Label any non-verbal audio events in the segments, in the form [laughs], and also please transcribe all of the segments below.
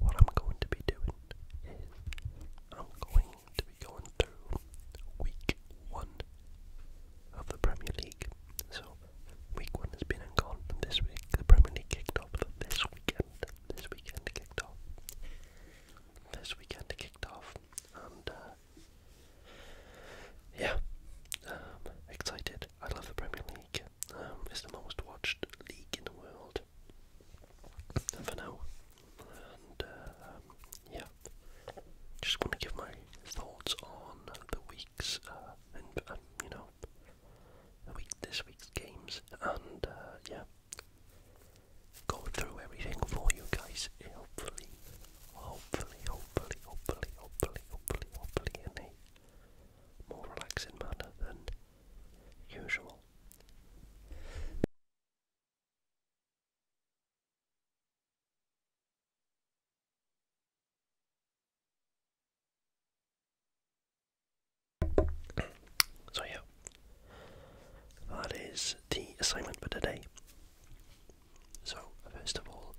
what I'm going to be doing is I'm going to be going through week one of the Premier League. So week one has been and gone. This week the Premier League kicked off this weekend. This weekend kicked off. This weekend kicked off, and uh, yeah, um, excited. I love the Premier League. Um, it's the most watched league in the world for now. And uh, um, yeah, just want to give my thoughts on the week's uh, and um, you know the week this week's games and uh, yeah, go through everything for you guys. Hopefully, hopefully, hopefully, hopefully, hopefully, hopefully, hopefully in a more relaxing manner than usual. So, yeah, that is the assignment for today. So, first of all,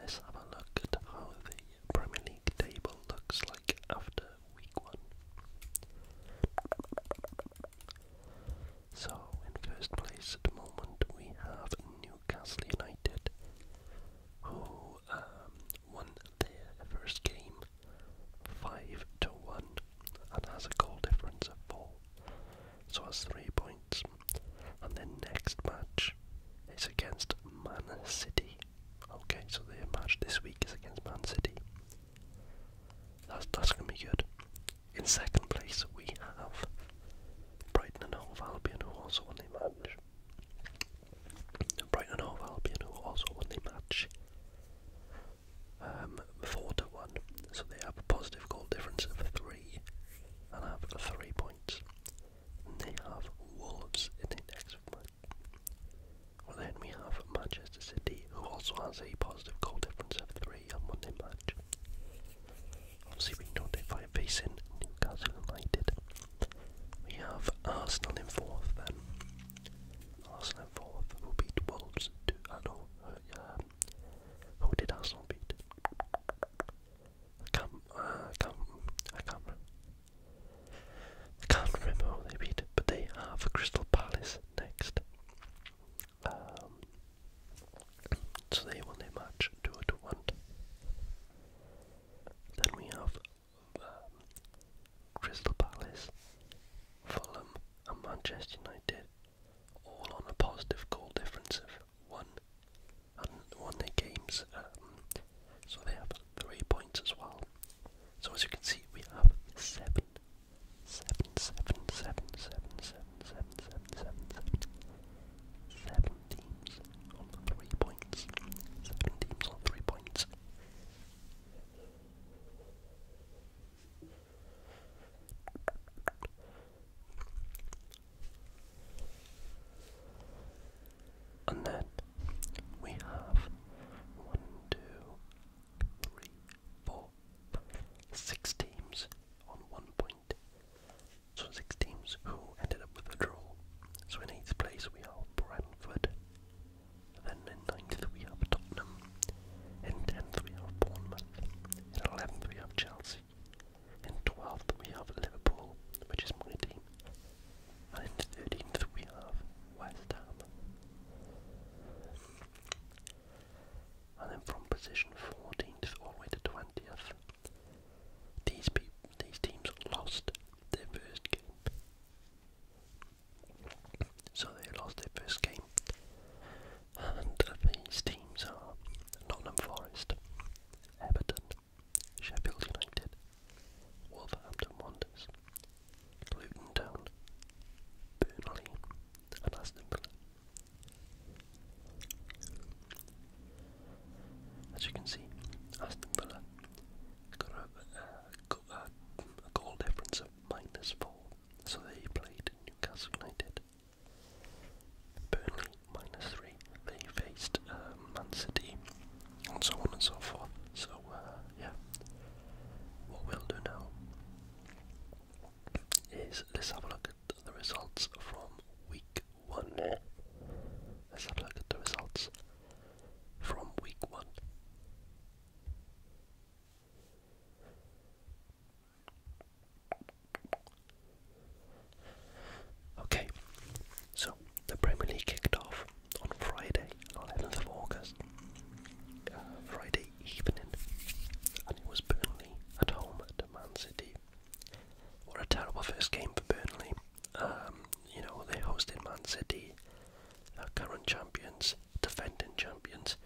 let's have a look at how the Premier League table looks like after week one. So, in first place at the moment, we have Newcastle United, who um, won their first game 5 to 1 and has a goal difference of 4, so has 3 points. And their next match is against Man City. Okay, so their match this week is against Man City. That's, that's going to be good. In second place, we have Brighton and Hove Albion, who also won the match. Brighton and Hove Albion, who also won the match um, 4 to 1. So they have a positive goal difference of 3 and have 3 points. they have Wolves in the next match. Well, then we have Manchester City, who also has a positive goal difference of 3 on Monday match. Obviously, we know they're facing Newcastle United. We have Arsenal in fourth, then. Arsenal in fourth, who beat Wolves 2 I uh, know, uh, um, who did Arsenal beat? Come, uh, can I can't, I I can't remember who they beat, but they have Crystal Palace next. Um, so they won their match 2 to 1. Then we have um, Crystal Palace, Fulham, and Manchester United, all on a positive goal difference of 1 and won their games. Um, so they have three points as well well. So as you can see, we have seven, seven, seven, seven, seven, seven, seven, seven, seven, seven, seven teams on three points. Seven teams on three points. And then we have one, two, three, four, six teams on one point. So six teams who ended up with a draw. So in eighth place we have Brentford. Then in ninth we have Tottenham. In tenth we have Bournemouth. In eleventh we have Chelsea. In twelfth we have Liverpool, which is my team. And in thirteenth we have West Ham. And then from position 14th all the way to 20th, these these teams lost their first game. So they lost their first game. And these teams are Nottingham Forest, Everton, Sheffield United, Wolverhampton Wanderers, Luton Town, Burnley, Aston Villa. As you can see, Aston Villa got uh, a, goal difference of minus four, so they played Newcastle United. Burnley minus three. They faced uh, Man City, and so on and so forth. So uh, yeah. What we'll do now is let's have a look at the results from week one. Let's have a look at the results from week one. Okay, so the Premier League kicked off on Friday. 11th of August, Friday evening, and it was Burnley at home at Man City. What a terrible first game for Burnley. Um, you know, they hosted Man City, uh, current champions, defending champions,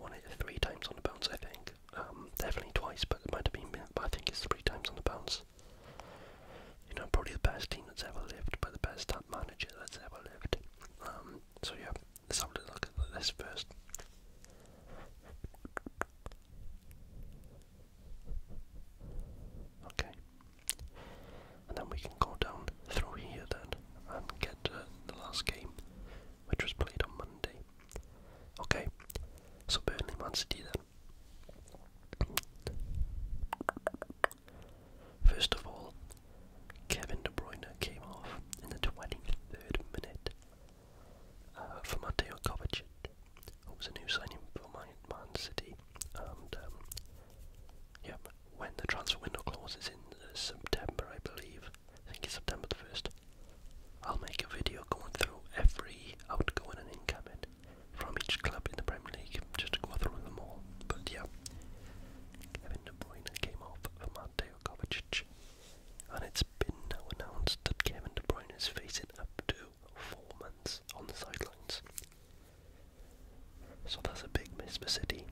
won it three times on the bounce, I think. Um, definitely twice, but it might have been, I think it's three times on the bounce. You know, probably the best team that's ever lived, but the best manager that's ever lived. Um, so yeah, let's have a look at this first. Okay. And then we can go down through here then and get the last game, which was played on Monday. Okay, so Burnley Man City then. First of all, Kevin De Bruyne came off in the 23rd minute uh, for Mateo Kovacic, who was a new signing for Man, Man City. And um, when the transfer window closes in uh, September, I believe, I think it's September the 1st, I'll make a video going through every outgoing and incoming from each club in the Premier League, just to go through them all. But yeah, Kevin De Bruyne came off for Mateo Kovacic, and it's been now announced that Kevin De Bruyne is facing up to four months on the sidelines. So that's a big miss for City.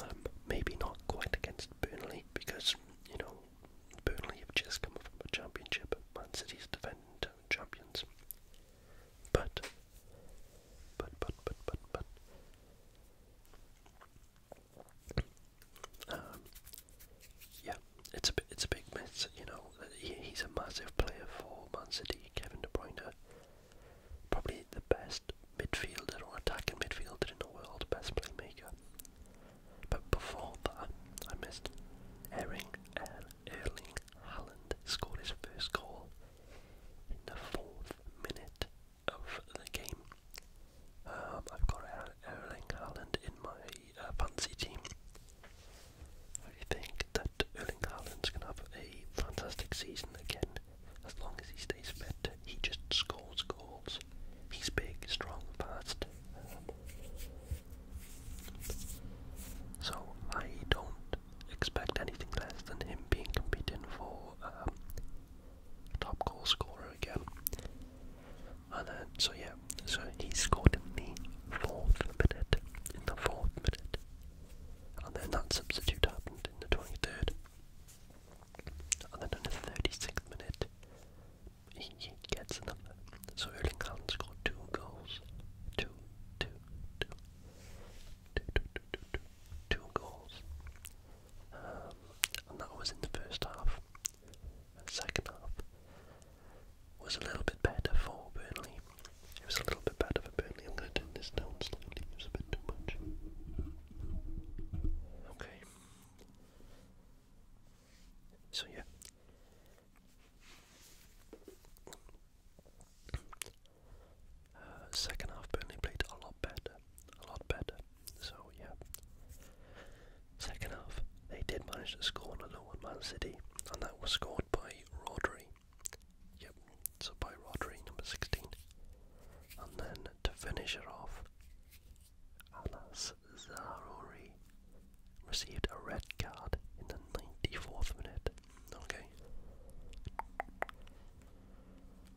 Um, maybe not quite against Burnley because you know Burnley have just come from a championship. Man City's defending champions. But, but, but, but, but, but, um, yeah, it's a it's a big miss. You know, uh, he's a massive player for Man City. Kevin De Bruyne, probably the best midfielder or attacking midfielder in the world, best playmaker. But before that, I missed Erling and Erling Haaland scored his first goal in the fourth minute of the game. Um, I've got Erling Haaland in my uh, team. I think that Erling Haaland's going to have a fantastic season again as long as he stays fit. He just scores goals. He's big, strong, fast. so I don't expect anything less than him being competing for um, top goal scorer again. And then, so yeah, so he scored in the fourth minute, in the fourth minute, and then that substitute happened in the 23rd, and then in the 36th minute, he, gets another. So Erling Haaland scored two goals, two, two, two, two, two, two, two, two, two goals um, that was in the first half. second half was a little bit better for Burnley. It was a little bit better for Burnley. I'm going this down slightly, it was a bit too much. Okay. So, yeah second half, Burnley played a lot better, a lot better. So yeah, second half they did manage to score on a low on Man City, and that was scored by Rodri. Yep, so by Rodri, number sixteen, and then to finish it off, Alas Zaruri received a red card in the ninety-fourth minute. Okay.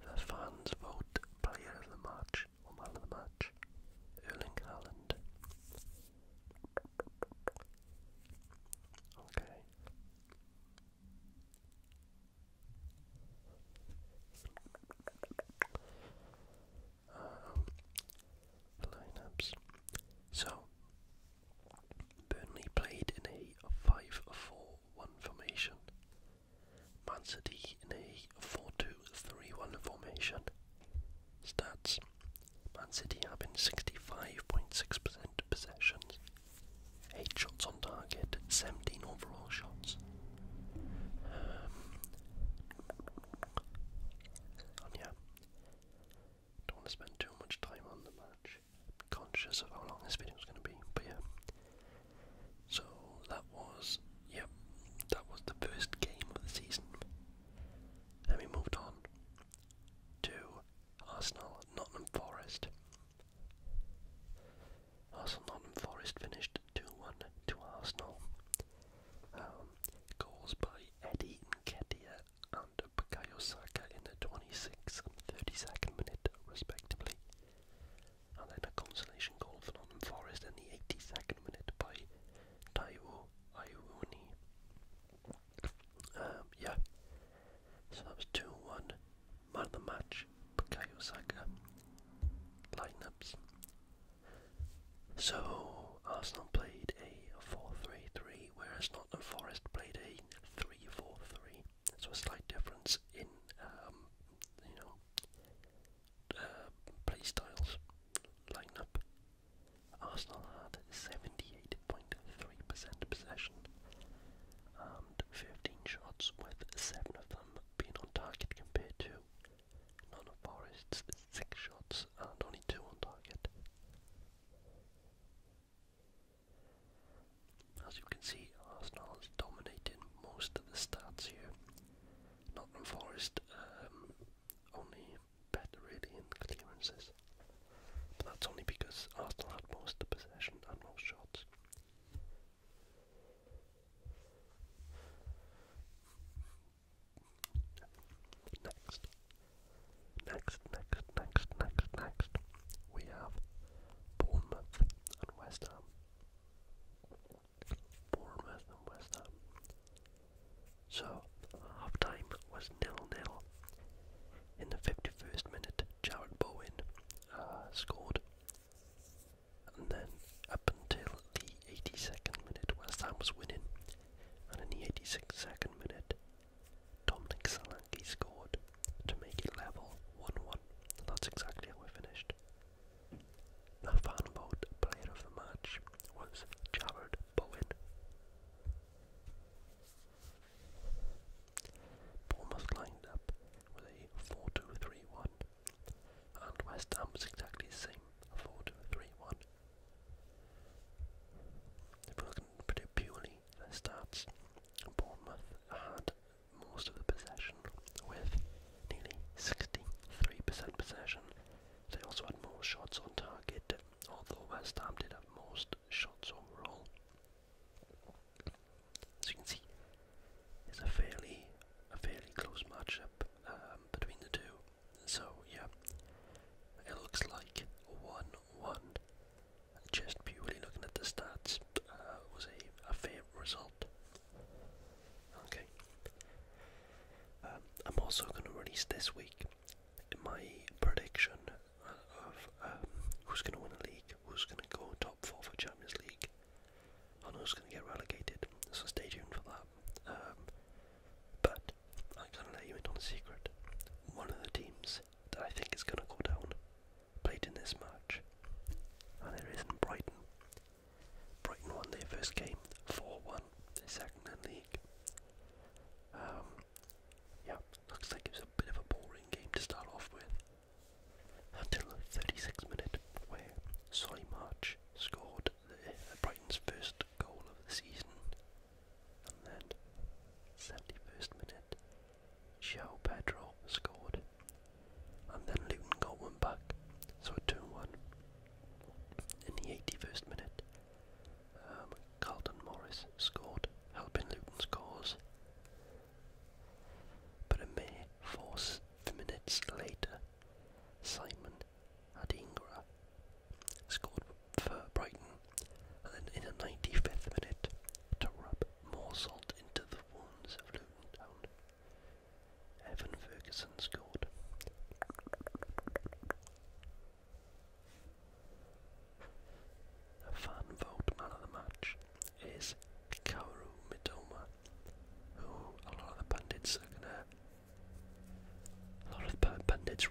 The fans voted player of the match or man of the match, Erling Haaland. Okay. Um, so, Burnley played in a 5-4-1 formation. Man City in a four-two-three-one formation. Stats Man City having 65.6% possessions, 8 shots on target, 17 overall shots. Um, yeah, don't want to spend too much time on the match. conscious of how long this video is going to be, but yeah, so that was, yep, that was the first game of the season. And we moved on to Arsenal Nottingham Forest. Arsenal Nottingham Forest finished 2 1 to Arsenal. Um, goals by Eddie Nketia and Bukayo Saka in the 26th and 32nd minute, respectively and then a consolation goal for Nottingham Forest in the 82nd minute by Taiwo Iwuni. Um, yeah, so that was 2 1. Man of the match, Kaya Saka. Lineups. So, Arsenal played a 4 3 3, whereas Nottingham Forest played a 3 4 3. So a slight difference in um, you know uh, play styles lineup. Arsenal had 78.3% possession and 15 shots, with seven of them being on target compared to none of Forest's six shots and only two on target. As you can see, Arsenal is dominating most of the stats here. Nottingham Forest um, only better really in clearances. But that's only because Arsenal had most of the possession and most shots. Next. Next, next, next, next, next. We have Bournemouth and West Ham. Bournemouth and West Ham. So, half was 0 0. In the 51st minute, Jared Bowen uh, scored. And then, up until the 82nd minute, West Ham was winning. And in the 86nd minute, Dominic Solanke scored to make it level 1 1. That's exactly how we finished. The final vote player of the match was Jared Bowen. Bournemouth lined up with a 4 and West Ham was exactly the same 4 If we're looking purely stats, Bournemouth had most of the possession with nearly 63% possession. They also had more shots on target, although West Ham did have most shots overall. As you can see, it's a fairly, a fairly close matchup um, between the two. So yeah, it looks like one-one. Just purely looking at the stats, uh, was a fair result Okay. Um, I'm also going to release this week my prediction of um, who's going to win the league, who's going to go top four for Champions League, and who's going to get relegated. So stay tuned for that. Um, but I'm going to let you in on a secret. One of the teams that I think is going to go down played in this match, and it in Brighton. Brighton won their first game 4 1, second in league. Um, yeah, looks like it was a bit of a boring game to start off with. Until the 36th minute, where Solly March scored uh, Brighton's first goal of the season. And then, 71st minute, João Pedro scored and then Luton got one back, so a 2 1. In the 81st minute, um, Carlton Morris scored, helping Luton's cause. But a mere four minutes later, Simon Adingra scored for Brighton, and then in the 95th minute, to rub more salt into the wounds of Luton Town, Evan Ferguson scored. A fan vote man of the match is Kaoru Mitoma, who a lot of the pundits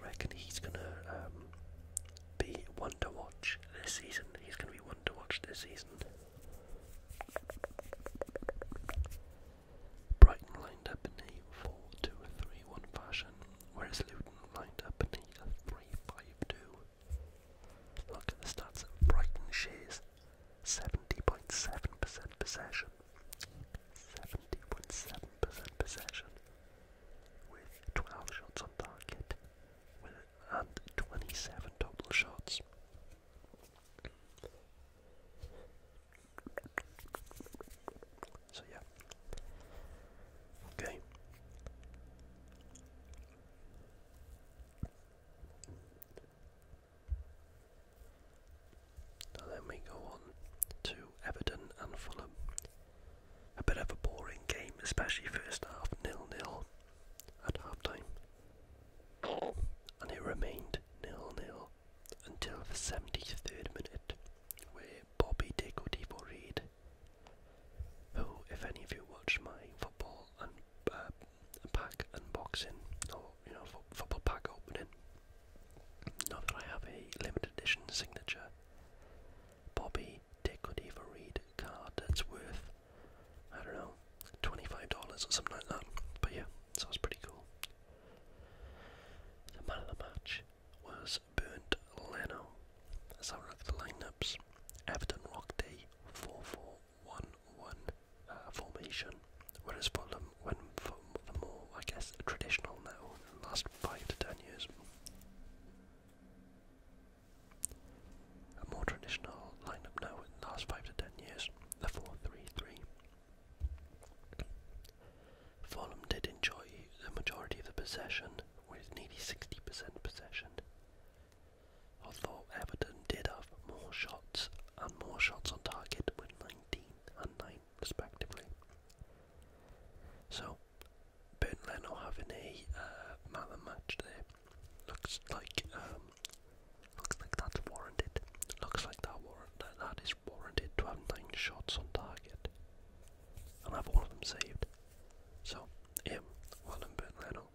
reckon he's gonna um, be one to watch this season. He's gonna be one to watch this season. Brighton lined up in a 4 2 3 1 fashion, whereas Luton lined up in a 3 5 2. Look at the stats Brighton shares 70.7% possession. 70.7% possession with 12 shots on target and 27 total shots. So yeah. Okay. So then we go on to Everton and Fulham. A bit of a boring game, especially first half, nil-nil at half time and it remained nil-nil until the 73rd minute, where Bobby Deco Reid, who, if any of you watch my football and uh, pack unboxing, or you know, football pack opening, now that I have a limited edition signature Bobby Deco Reid card that's worth I don't know, $25 or something like that. But yeah, so it was pretty cool. The man of the match was Burnt Leno. Let's have the lineups. Everton rocked a 4 uh, formation, whereas Fulham went for the more, I guess, traditional now last 5 to 10 years a more traditional lineup now in the last 5 to 10 years, the four-three-three. Fulham did enjoy the majority of the possession, with nearly 60% possession, although Everton did have more shots and more shots on target with 19 and 9 respectively. So, Burton Leno having a uh, match there. Looks like um, looks like that's warranted. Looks like that warrant that is warranted to shots on target, and have one of them saved. So, him, well, and Bert Leno.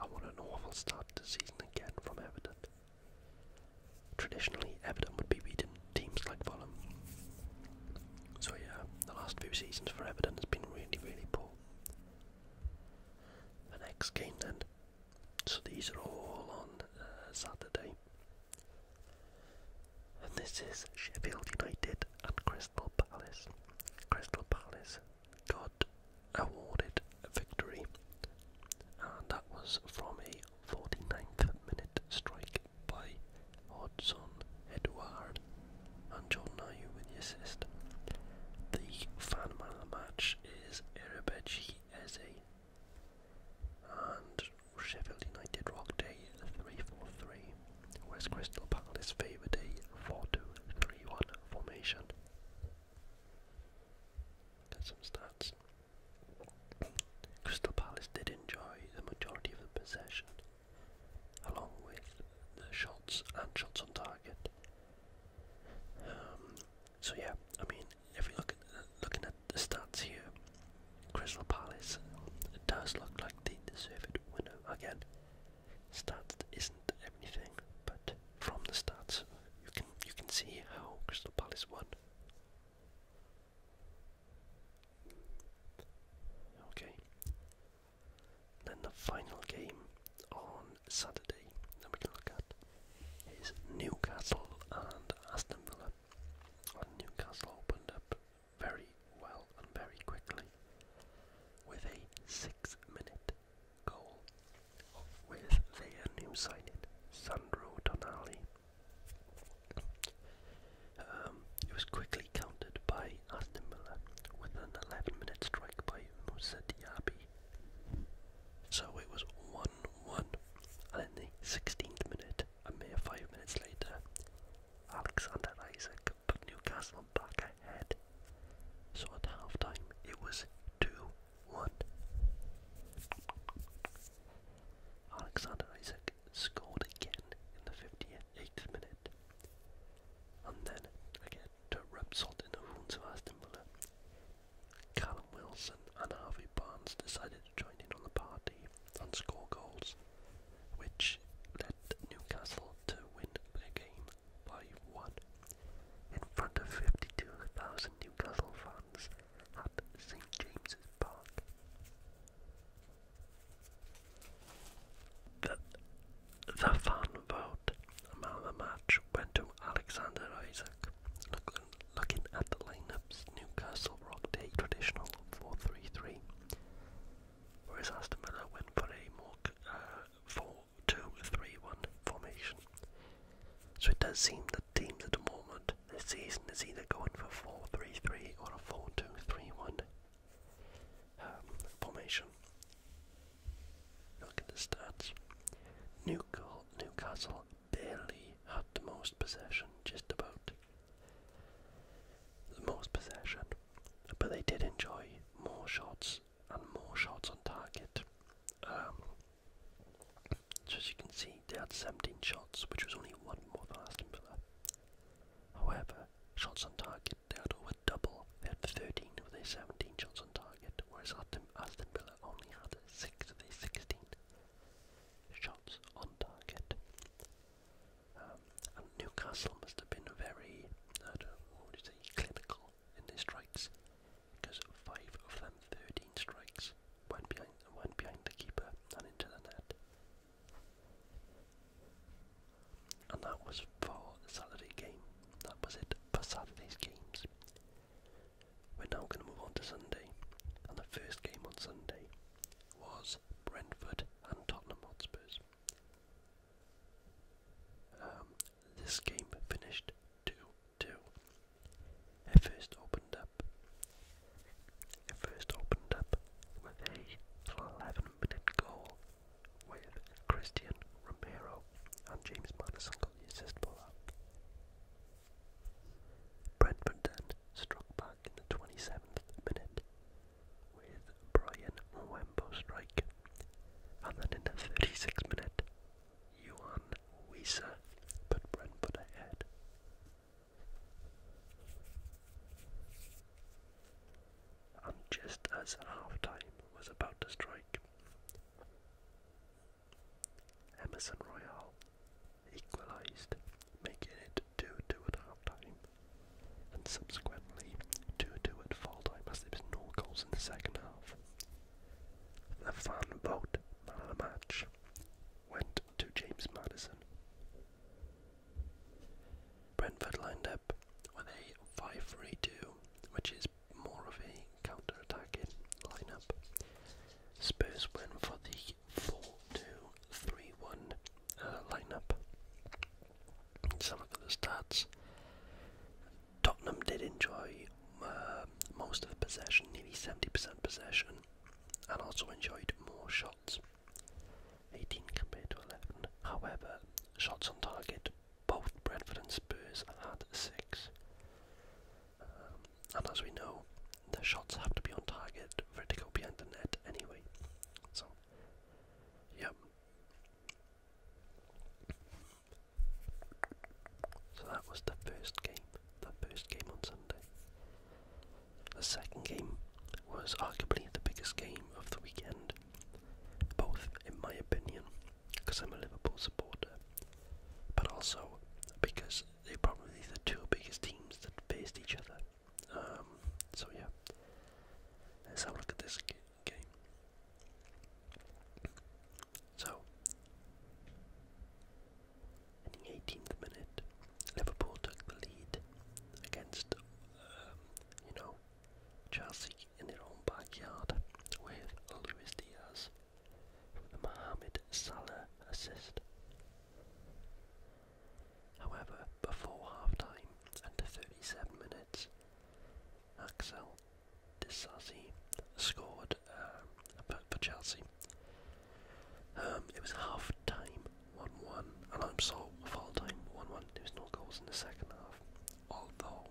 I want an awful start to the season again from Everton. Traditionally, Everton would be beating teams like Fulham. So yeah, the last few seasons for Everton has been really, really poor. The next game then so these are all on uh, Saturday. And this is Sheffield United and Crystal Palace. Crystal Palace got awarded a victory, and that was from a 49th minute strike by Hodgson Edouard and John Nayu with the assist. The fan match is Erebechi Eze. And Sheffield United rock day three four three, 4 whereas Crystal Palace favoured a four two three one formation. Got some stats. Crystal Palace did enjoy the majority of the possession, along with the shots and shots on target. Um, so yeah, I mean, if we look at, looking at the stats here, Crystal Palace it does look like the deserved Winner again. Stats isn't everything, but from the stats, you can you can see how Crystal Palace won. Okay. Then the final game on Saturday that we can look at is Newcastle and Aston Villa. Newcastle opened up very well and very quickly with a six minute goal with their new signing, Sandro Tonali. Um, it was quickly countered by Aston Villa with an 11 minute strike by Musa Diaby so it was 1 1, and in the 16th minute, a mere 5 minutes later, Alexander Isaac put Newcastle back ahead. So at half time, it was 2 1. Alexander Isaac scored again in the 58th minute. And then again to salt in the wounds of Aston Villa. Callum Wilson and Harvey Barnes decided to join in on the party and score goals, which led Newcastle to win the game by one. In front of 52,000 Newcastle fans at St James's Park. The, the fan vote Man the match went to Alexander Isaac. Looking, at the lineups, Newcastle rocked a traditional 4-3-3, whereas Aston Villa went for a more 4-2-3-1 uh, formation. So it does seem that teams at the moment this season is either going for 4-3-3 or a 4-2-3-1 um, formation. Look at the stats. Newcastle, Newcastle barely had the most possession, just about. The most possession. But they did enjoy more shots and more shots on target. Um, so as you can see, they had 17 shots, which was only one more than Aston Villa. However, shots on target, they had over double. They had 13 with their 17 shots on target, whereas Aston Villa only had six of his 16 shots on target. Um, Newcastle must have been very, I don't know, what would clinical in their strikes, because five of them, 13 strikes, went behind, went behind the keeper and into the net. And that was for the Saturday game. That was it for Saturday's games. We're now going to move on to Sunday. And the first game on Sunday was Brentford and Tottenham Hotspurs. Um, this game finished 2 2. It first opened up. It first opened up with a 11 minute goal with Christian Romero and James Madison got the assist for that. Brentford then struck back in the 27th minute with Brian Wembo strike, and then in the 36th minute, Johan Wiese put Brentford ahead. And just as half time was about to strike, Emerson Royale equalised, making it 2 2 at half time, and subsequently 2 2 at full time as there was no goals in the second half. The fan vote man of the match went to James Madison. Brentford lined up with a 5 which is more of a counter-attacking lineup. Spurs went for the 4 uh, lineup. Let's have a look at the stats. Tottenham did enjoy uh, most of the possession, nearly 70% possession, and also enjoyed more shots. 18 compared to 11. However, shots on target, both Bradford and Spurs had 6 and as we know, the shots have to be on target for it to go behind the net anyway. So, yep. So that was the first game, the first game on Sunday. The second game was arguably the biggest game of the weekend, both in my opinion, because I'm a Liverpool supporter, but also because they're probably the two biggest teams that faced each other. Um, so yeah, let's have a look at this game. So, in the 18th minute, Liverpool took the lead against, um, you know, Chelsea in their own backyard with Luis Diaz with the Mohamed Salah assist. However, before half-time, under 37 minutes, Axel Disasi scored uh, for Chelsea. Um, it was half-time, 1-1, and I'm sorry, full-time, 1-1. There was no goals in the second half, although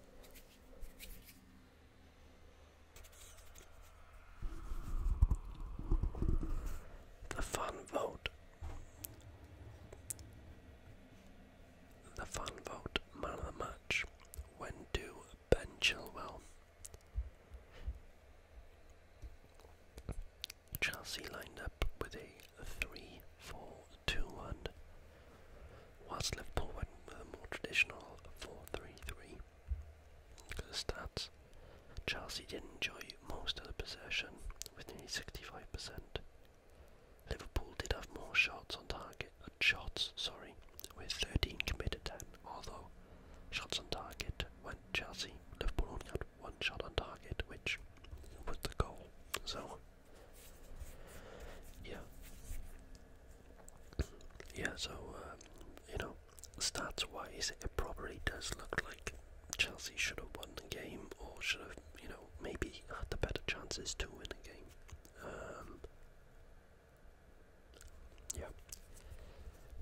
The fun vote. The fun vote, man of the match, When do Ben Chilwell. Chelsea lined up with a 3 4 2-1. Whilst Liverpool went with a more traditional 4-3-3. the stats, Chelsea did enjoy most of the possession with nearly 65%. Liverpool did have more shots on target, uh, shots, sorry, with 13 committed although shots on target went Chelsea. Liverpool only had one shot on target, which put the goal. So yeah. Yeah, so, uh, you know, stats wise, it probably does look like Chelsea should have won the game or should have, you know, maybe had the better chances to win the game. Um, yeah.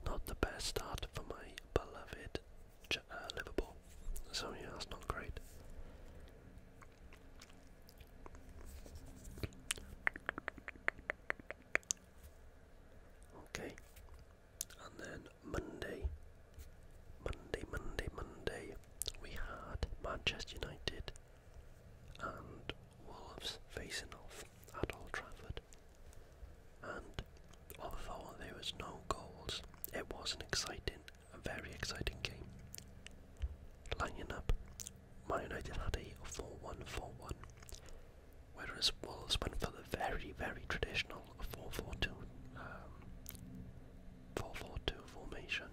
Not the best start for my beloved uh, Liverpool. So, yeah, that's not great. Okay. And then Monday, Monday, Monday, Monday, we had Manchester United and Wolves facing off at Old Trafford. And although there was no goals, it was an exciting a very exciting game. Lining up, Man United had a 4 1 4 1, whereas Wolves went for the very, very traditional 4 4 2, um, formation.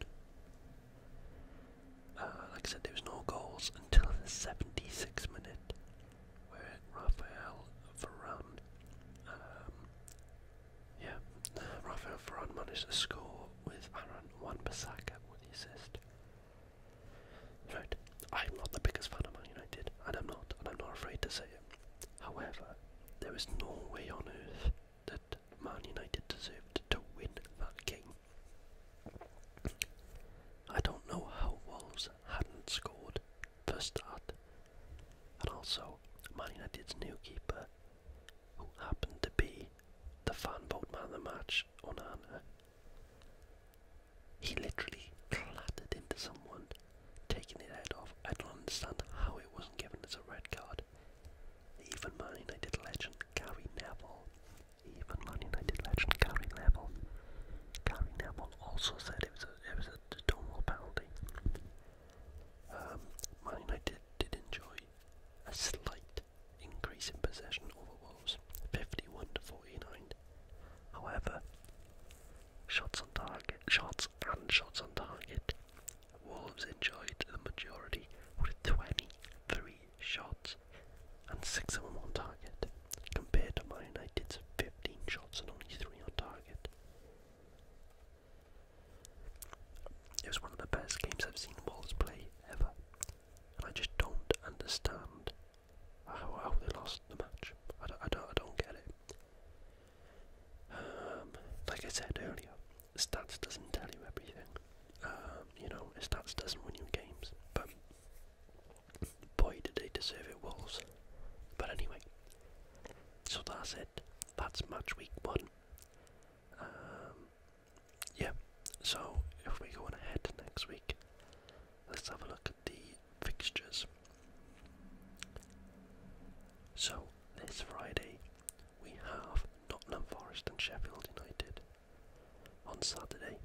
Uh, like I said, there was no goals until the 76th minute, where Raphael Varane um, yeah, uh, Varane managed to score with Aaron Wan-Bissaka with the assist. Right, I'm not the biggest fan of Man United, and I'm not, I'm not afraid to say it. However, there is no way on earth that Man United deserved to win that game. I don't know how Wolves hadn't scored first start, and also Man United's new keeper who happened to be the fan vote man of the match, Onana. He literally clattered into someone, taking his head off. I don't understand how it wasn't given as a red card. Even Man United legend Gary Neville, even Man United legend Gary Neville, Gary Neville also said it was a, it was a Stonewall penalty. Um, Man United did enjoy a slight increase in possession over Wolves, 51 to 49. However, shots on target, shots and shots on target, Wolves enjoyed the majority with 23 shots and 6 of them on target, compared to Man United's 15 shots and only 3 on target. It was one of the best games I've seen Wolves play ever, and I just don't understand how, they lost the match. I don't, I don't, I don't get it. Um, like I said earlier, stats doesn't tell you everything. Um, you know, stats doesn't win you games, but boy, did they deserve it, Wolves. But anyway, so that's it. That's match week one. Um, yeah, so if we go ahead next week, let's have a look at the fixtures. So this Friday we have Nottingham Forest and Sheffield United. On Saturday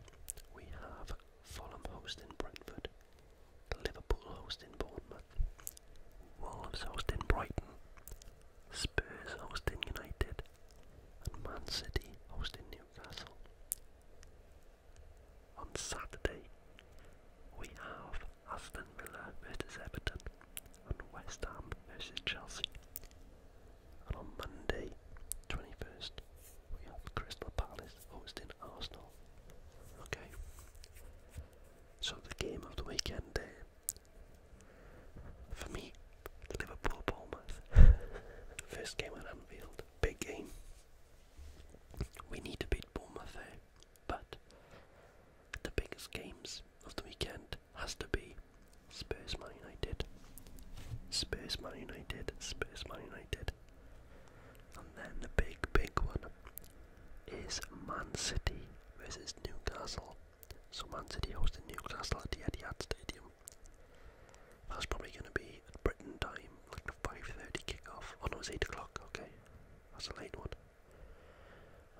we have Fulham hosting Brentford, Liverpool hosting Bournemouth, Wolves hosting Brighton, Spurs hosting United, and Man City hosting Newcastle. On Saturday, we have Aston Villa versus Everton and West Ham versus Chelsea. And on Monday, 21st, we have Crystal Palace hosting Arsenal. Okay, so the game of the weekend there for me, Liverpool Bournemouth. [laughs] First game at Anfield. Big game. We need to beat Bournemouth there. But the biggest games of the weekend has to be Spurs Man United. Spurs Man United. Spurs Man United. And then the big, big one is Man City versus Newcastle. So Man City hosted Newcastle at the Etihad Stadium. That's probably going to be at Britain time, like the 5.30 kickoff. Oh no, it's 8 o'clock, okay. That's a late one.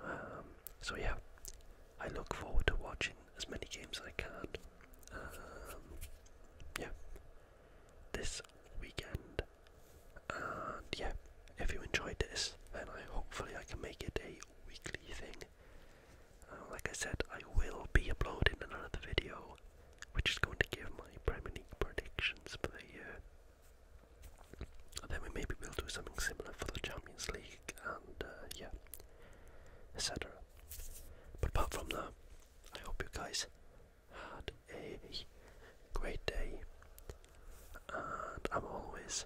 Um, so yeah, I look forward to watching as many games as I can. Um, yeah, this weekend. And yeah, if you enjoyed this, then I hopefully I can make it a weekly thing. Uh, like I said, I will be uploading another video which is going to give my Premier League predictions for the year. And then we maybe will do something similar for the Champions League and uh, yeah, etc. But apart from that, I hope you guys had a great day. And I'm always